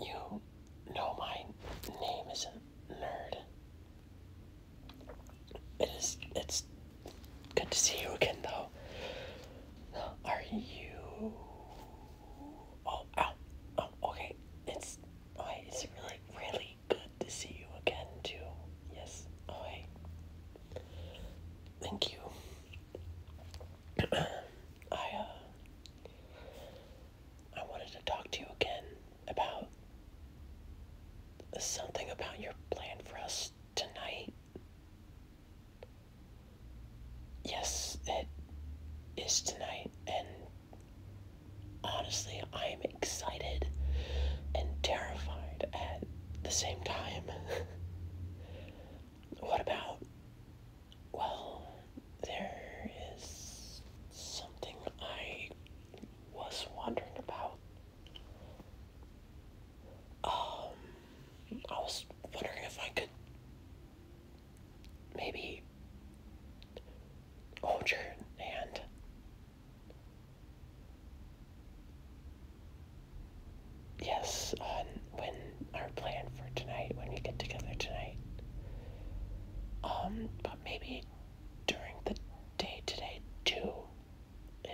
You know my name isn't Nerd. It is. It's good to see you again, though. Are you? Oh, ow. oh, okay. It's. Oh, it's really, really good to see you again, too. Yes. Oh, wait. Thank you. I uh, I wanted to talk to you again about something about your plan for us tonight. Yes, it is tonight, and honestly, I am excited and terrified at the same time. what about. Well, there is something I was wondering about. Um, I was wondering if I could maybe hold your hand yes, when our plan for tonight, when we get together tonight. Um, but maybe during the day today too.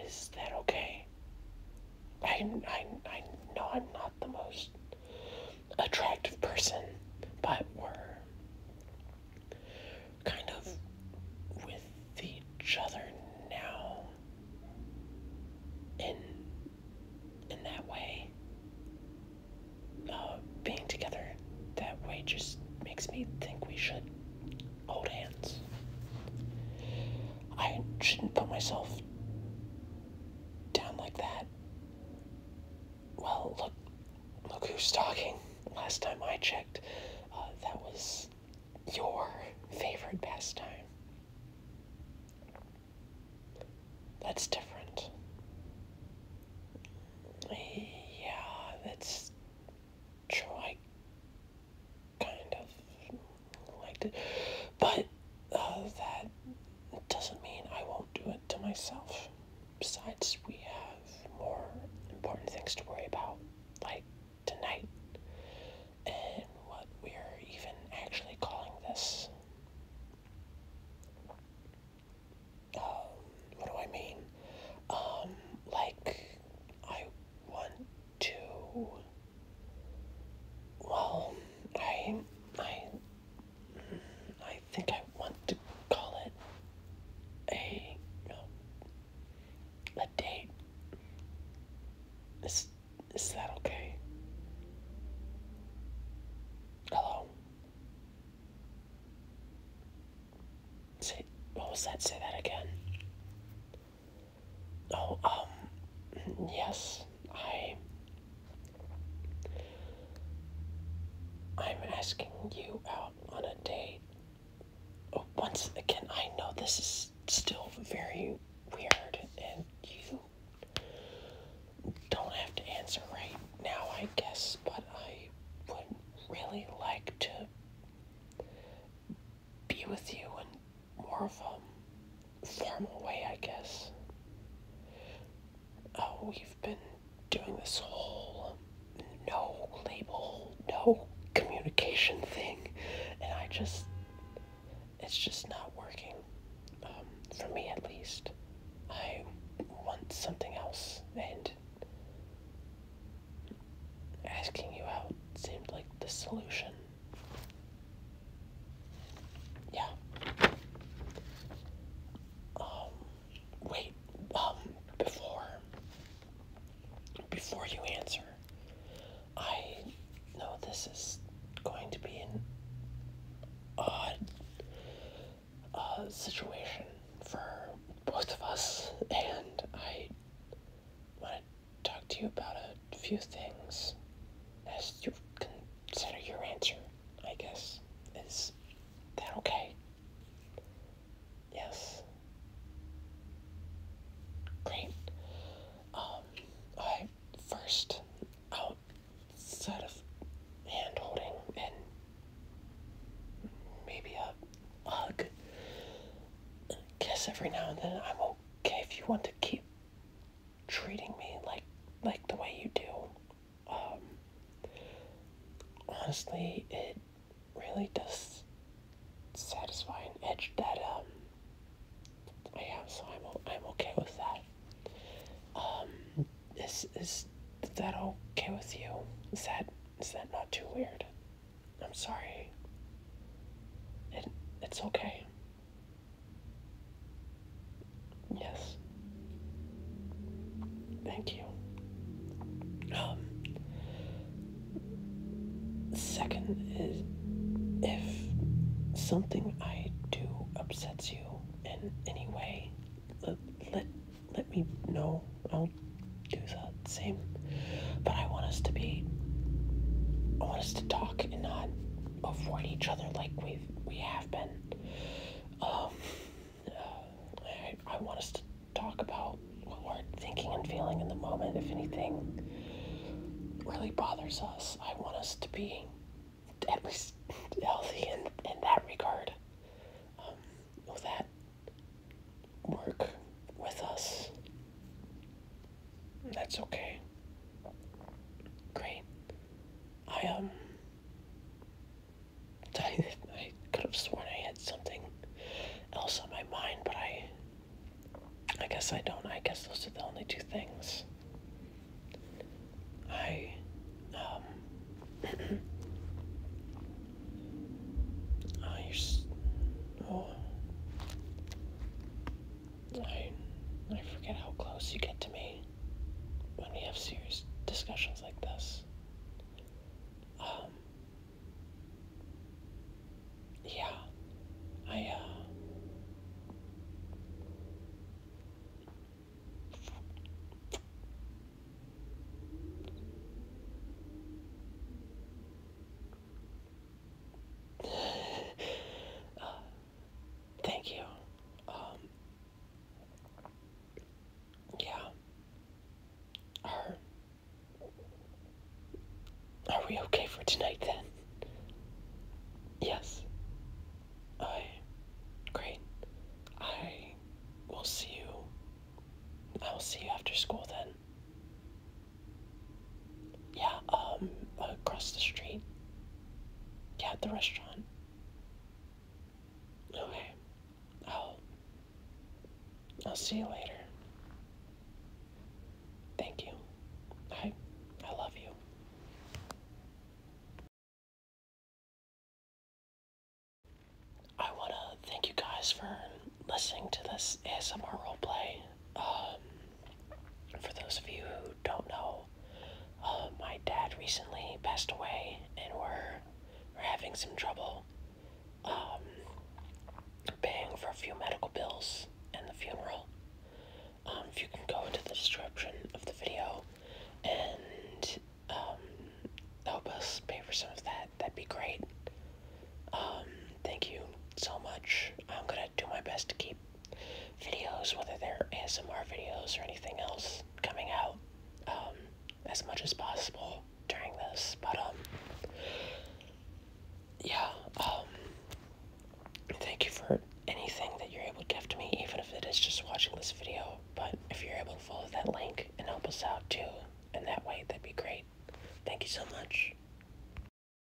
Is that okay? I, I, I know I'm not the most attractive person, but we're kind of with each other now in in that way uh, being together that way just makes me think we should hold hands I shouldn't put myself down like that well look look who's talking last time I checked uh, that was your favorite pastime. That's different. Yeah, that's true. I kind of liked it. But uh, that doesn't mean I won't do it to myself. Besides, we have more important things to worry about, like tonight and what we're even actually calling this. Um, what do I mean? Um, like, I want to. Well, I. I. Mm, I think I want to call it a. Um, a date? Is, is that okay? Hello? Say, what was that? Say that again. Oh, um, yes, I. I'm asking you out on a date once again, I know this is still very weird, and you don't have to answer right now, I guess, but I would really like to be with you in more of a formal way, I guess. Oh, we've been doing this whole no label, no communication thing, and I just, it's just not working, um, for me at least. I want something else, and asking you out seemed like the solution. Yeah. Um, wait, um, before before you answer, I know this is going to be an odd uh, situation for both of us, and I want to talk to you about a few things as you consider your answer, I guess. Is that okay? Yes. Great. Um, I first outside of hand holding and maybe a hug. guess every now and then I'm okay if you want to keep treating me like like the way you do. Um, honestly, it really does satisfy an edge that um, I am. so I'm I'm okay with that. Um, is is that okay with you? Is that is that not too weird? I'm sorry. It it's okay. Yes. Thank you. Um, second is if something I do upsets you in any way, let, let, me know. I'll do the same. But I want us to be, I want us to talk and not avoid each other like we've, we have been. Um, I, I want us to talk about what we're thinking and feeling in the moment. If anything really bothers us, I want us to be at least healthy in, in that regard. Um, that work with us? That's okay. Great. I, um, I, I could have sworn I had something else on my mind, but I I guess I don't. I guess those are the only two things. I um I used oh I I forget how close you get to me when we have serious discussions like this. Um, yeah, I, uh, uh Thank you. Um, yeah. Are, are we okay for tonight then? Yes. I. Great. I will see you. I will see you after school then. Yeah, um, across the street. Yeah, at the restaurant. Okay. I'll I'll see you later. Thank you. I I love you. I wanna thank you guys for listening to this ASMR roleplay. Um for those of you who don't know, uh, my dad recently passed away, and we're we're having some trouble um, paying for a few medical bills and the funeral. Um, if you can go into the description of the video and um, help us pay for some of that, that'd be great. thank you so much. I'm gonna do my best to keep videos, whether they're ASMR videos or anything else, coming out um, as much as possible during this. But um, yeah, um, thank you for anything that you're able to give to me, even if it is just watching this video. But if you're able to follow that link and help us out too in that way, that'd be great. Thank you so much.